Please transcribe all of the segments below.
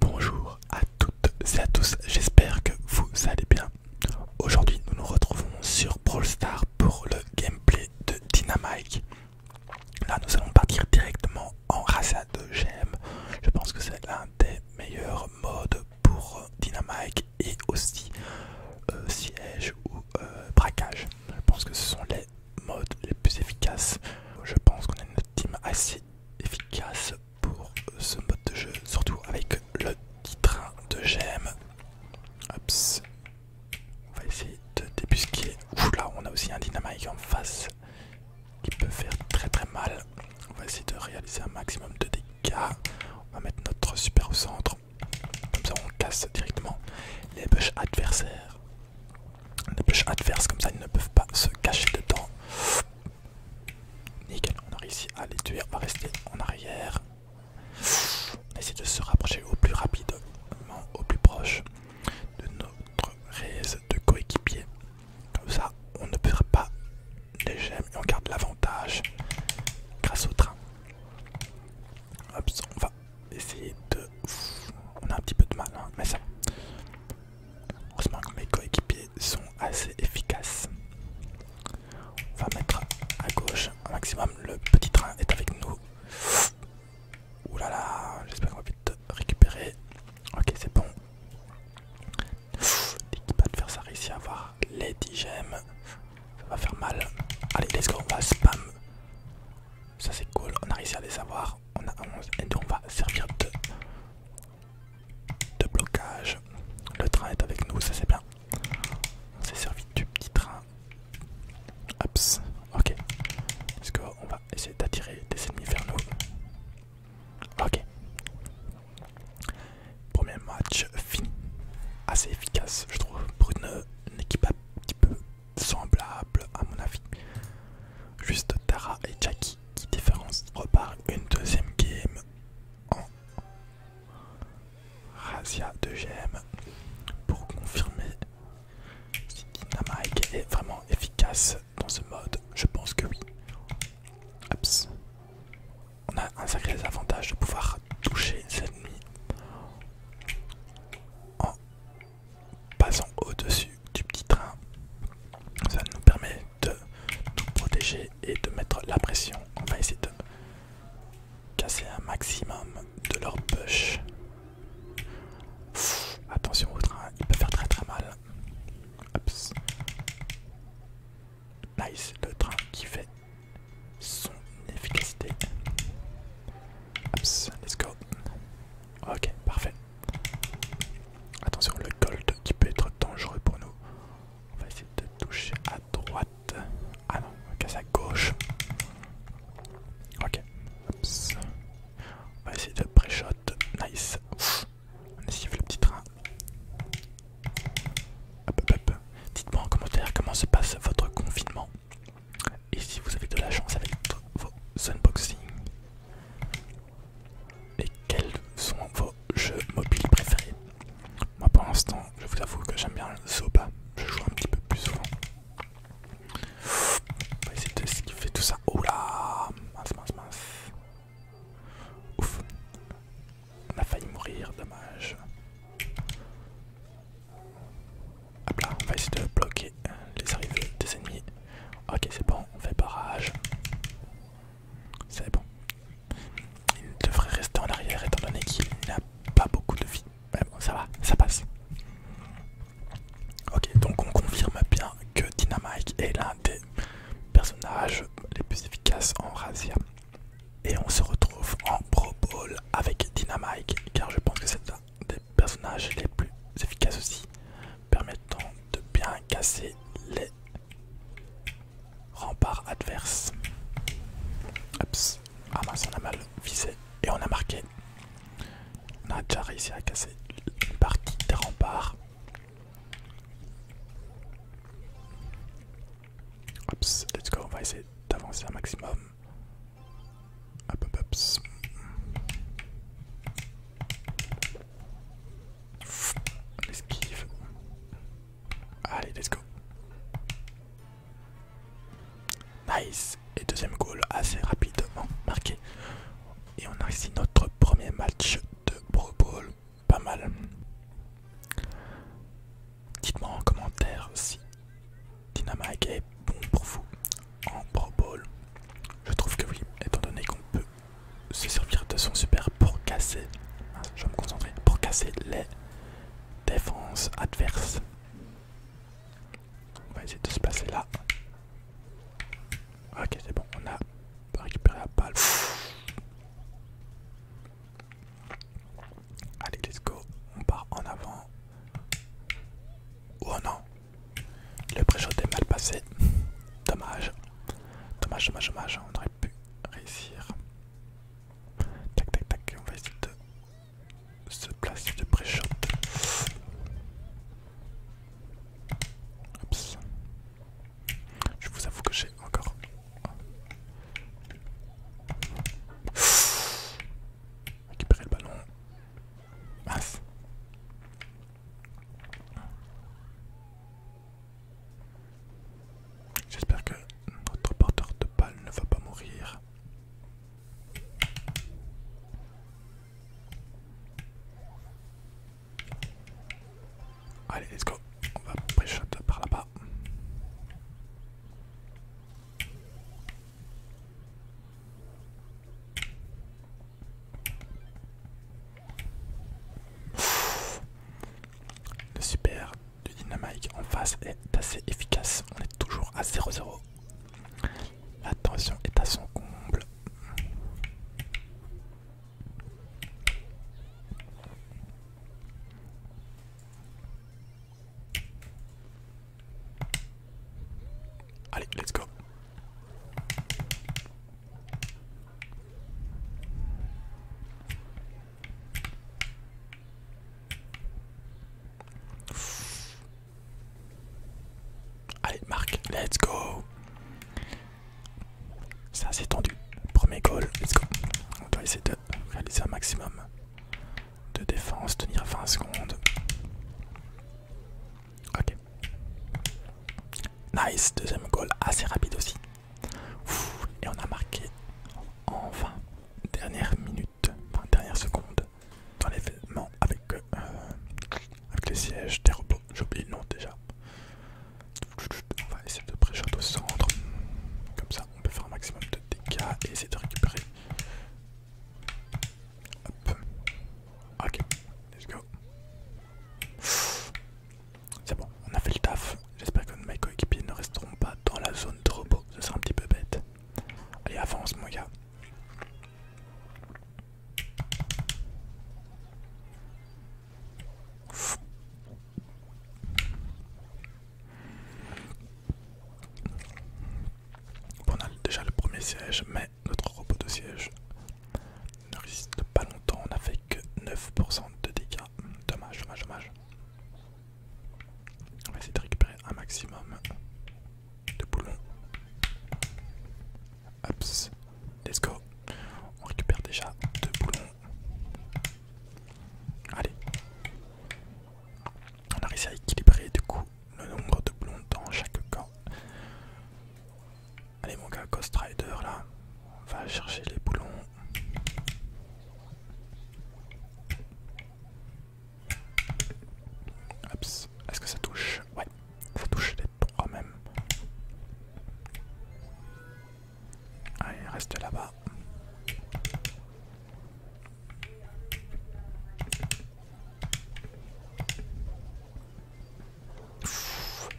Bonjour à toutes et à tous, j'espère que vous allez bien. Aujourd'hui nous nous retrouvons sur Brawl Stars pour le gameplay de Dynamite. Là nous allons partir directement en razzia de gemmes. Je pense que c'est l'un des meilleurs modes pour euh, Dynamite et aussi euh, siège ou euh, braquage. Je pense que ce sont les modes les plus efficaces. Je pense qu'on a une team assez efficace pour ce mode de jeu, surtout avec le titre de gemme On va essayer de débusquer. Ouf là, on a aussi un dynamite en face qui peut faire très très mal. On va essayer de réaliser un maximum de dégâts. On va mettre notre super au centre. Comme ça, on casse directement les bush adversaires des pêche adverses comme ça ils ne peuvent pas se cacher dedans. Nickel, on a réussi à les tuer, on va rester en arrière. On essaie de se rapprocher au plus rapidement, au plus proche de notre raise de coéquipier. Comme ça, on ne perd pas les gemmes et on garde l'avantage grâce au train. on va essayer de... On a un petit peu de mal, hein, mais ça... Heureusement que mes coéquipiers sont assez efficaces. On va mettre à gauche un maximum. Le petit train est avec nous. Oulala, j'espère qu'on va vite récupérer. Ok, c'est bon. faire ça ici à avoir les 10 Ça va faire mal. Allez, let's go, on va spam. Ça c'est cool, on a réussi à les avoir. On a 11 et on va servir de de blocage. Le train est avec nous, ça c'est bien. On s'est servi du petit train. Hops, ok. Est-ce qu'on va essayer d'attirer des ennemis vers nous. Ok. Premier match fini. Assez efficace, je trouve. Pour une, une équipe un petit peu semblable, à mon avis. Juste Tara et Jackie qui différence repart une deuxième game en Razia de GM pour confirmer si Dynamic est vraiment efficace dans ce mode. Je pense que oui. On a un sacré avantage de pouvoir toucher ses ennemis en Passons au-dessus du petit train. Ça nous permet de nous protéger et de mettre la pression. On va essayer de casser un maximum de leur push. attention au train, il peut faire très très mal. Nice, le train qui fait son efficacité. let's go. Ok, parfait. Attention, le gold qui peut être dangereux pour nous. On va essayer de toucher à droite. Ah non, on casse à gauche. Ok. Oups. On va essayer de pré-shot. Nice. On faire le petit train. Dites-moi en commentaire comment se passe votre confinement. Et si vous avez de la chance avec vos unboxings. Et quels sont vos jeux mobiles préférés Moi pour l'instant, je vous avoue que j'aime bien le Zoba, je joue un petit peu plus souvent. On va essayer de skiffer tout ça. Oh Mince, mince, mince. Ouf On a failli mourir, dommage. Hop là, on va essayer de bloquer les arrivées des ennemis. Ok, c'est bon, on fait barrage. C'est bon. Il devrait rester en arrière étant donné qu'il n'a pas beaucoup de vie. Mais bon, ça va, ça passe. Ok, donc on confirme bien que Dynamite est l'un des personnages les plus efficaces en Razia. Et on se retrouve en Pro Bowl avec Dynamite, car je pense que c'est des personnages les plus efficaces aussi, permettant de bien casser les remparts adverses. Ah on a mal visé et on a marqué. On a déjà réussi à casser une partie des remparts. let's go, on va essayer d'avancer un maximum. Hop hop hop. esquive. Allez, let's go. Nice. Et deuxième goal assez rapidement marqué. Et on a ici notre premier match de Pro Bowl. Pas mal. Dites-moi en commentaire si Dynamite est bon pour vous en Pro Je trouve que oui, étant donné qu'on peut se servir de son super pour casser, je vais me concentrer, pour casser les défenses adverses. On va essayer de se placer là. Ok, c'est bon, on a récupéré la balle. Allez, let's go, on part en avant. Oh non, le pré-shot est mal passé. Dommage. Dommage, dommage, dommage. On aurait pu réussir. Tac, tac, tac. On va essayer de se placer de pré-shot. Je vous avoue que j'ai encore. récupéré le ballon. J'espère que notre porteur de balle ne va pas mourir. Allez, let's go. On va pré par là-bas le super du dynamite en face est assez efficace. On est toujours à 0-0. La tension est à son comble. Allez, let's go. Allez, Marc, let's go. C'est assez tendu. Premier goal, let's go. On doit essayer de réaliser un maximum de défense, tenir 20 secondes. Ok. Nice, deuxième goal, assez rapide aussi. et on a marqué enfin dernière minute, dernière enfin dernière seconde dans l'événement avec, euh, avec les sièges des robots. J'oublie le nom déjà. On va essayer de pré au centre. Comme ça, on peut faire un maximum de dégâts et essayer de récupérer Ok, let's go. C'est bon, on a fait le taf. J'espère que mes coéquipiers ne resteront pas dans la zone de robot. Ce serait un petit peu bête. Allez, avance mon gars. Bon, on a déjà le premier siège, mais notre robot de siège ne résiste pas longtemps, on a fait que 9% de dégâts. Dommage, dommage, dommage. On va essayer de récupérer un maximum de boulons. Hops, let's go. On récupère déjà deux boulons. Allez. On a réussi à équilibrer du coup le nombre de boulons dans chaque camp. Allez mon gars, Ghost Rider là, on va chercher les boulons. Est-ce que ça touche Ouais, faut touche les trois même. Allez, reste là-bas.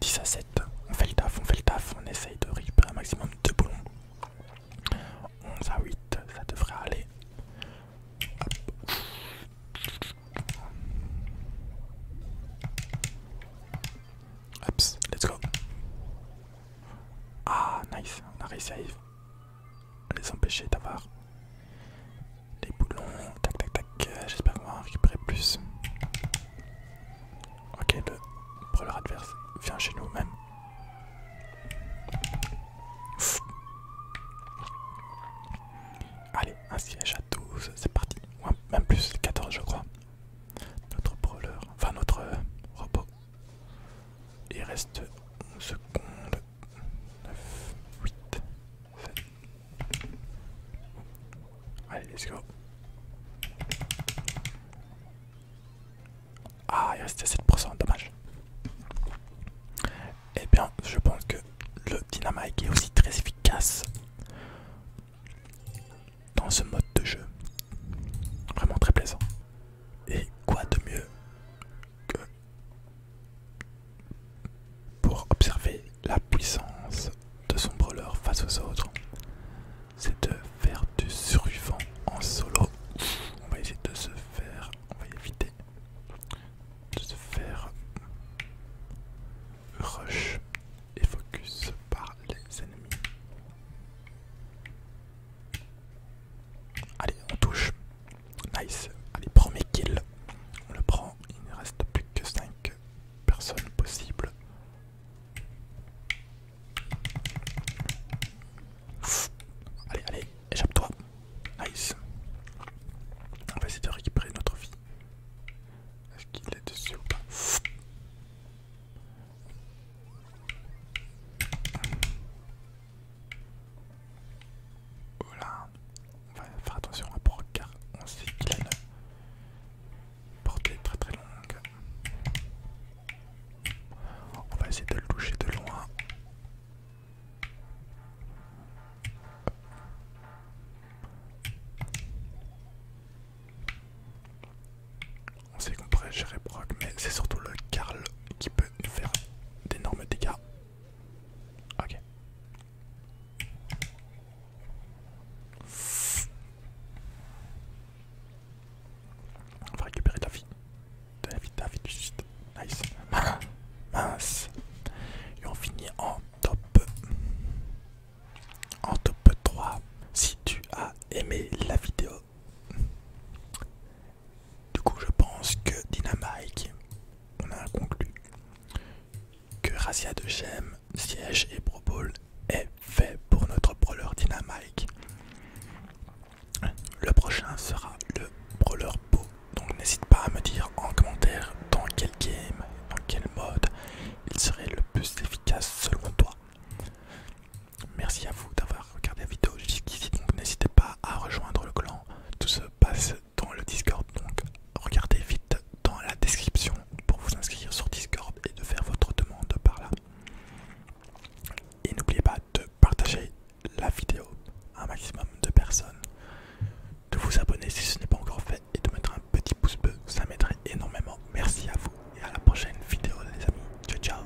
10 à 7, on fait le taf, on fait le taf, on essaye de récupérer un maximum de boulons. 11 à 8, ça devrait aller. Hop. let's go. Ah, nice, on a réussi les empêcher d'avoir les boulons. Tac tac tac. J'espère qu'on va en récupérer plus. Ok, le Proleur adverse vient chez nous même. Allez, un siège à 12, c'est parti. même plus, 14 je crois. Notre proleur. enfin notre robot. Il reste 11 secondes. 9, 8, 7. Allez, let's go. Ah, il restait 7%, dommage. Eh bien, je pense que le dynamike est aussi très efficace dans ce mode de jeu. Vraiment très plaisant. Et quoi de mieux que pour observer la puissance de son brawler face aux autres, c'est de faire du survivant en solo. On va essayer de se faire, on va éviter de se faire rush et focus par les ennemis. Allez, on touche. Nice. Allez, premier kill. On le prend. Il ne reste plus que 5 personnes possibles. Allez, allez, échappe-toi. Nice. On va essayer de récupérer notre vie. Est-ce qu'il est dessus ou pas voilà, on va faire attention à Brock car on sait qu'il a une portée très très longue. On va essayer de le toucher de loin. On sait qu'on pourrait gérer Brock, mais c'est surtout le Carl qui peut nous faire d'énormes dégâts. Ok. On va récupérer ta vie. ta vie, de la vie, juste. Nice. Mince. Et on finit en top. En top 3. Si tu as aimé la vidéo. Du coup, je pense que Dynamite, on a conclu que Razia de Gem, Siège et Pro est fait pour notre brawler Dynamite. Le prochain sera le brawler Po. Donc n'hésite pas à me dire en commentaire dans quel game, dans quel mode il serait le plus efficace selon toi. Merci à vous d'avoir Regardez la vidéo jusqu'ici, donc n'hésitez pas à rejoindre le clan. Tout se passe dans le Discord, donc regardez vite dans la description pour vous inscrire sur Discord et de faire votre demande par là. Et n'oubliez pas de partager la vidéo à un maximum de personnes, de vous abonner si ce n'est pas encore fait et de mettre un petit pouce bleu, ça m'aiderait énormément. Merci à vous et à la prochaine vidéo les amis. Ciao ciao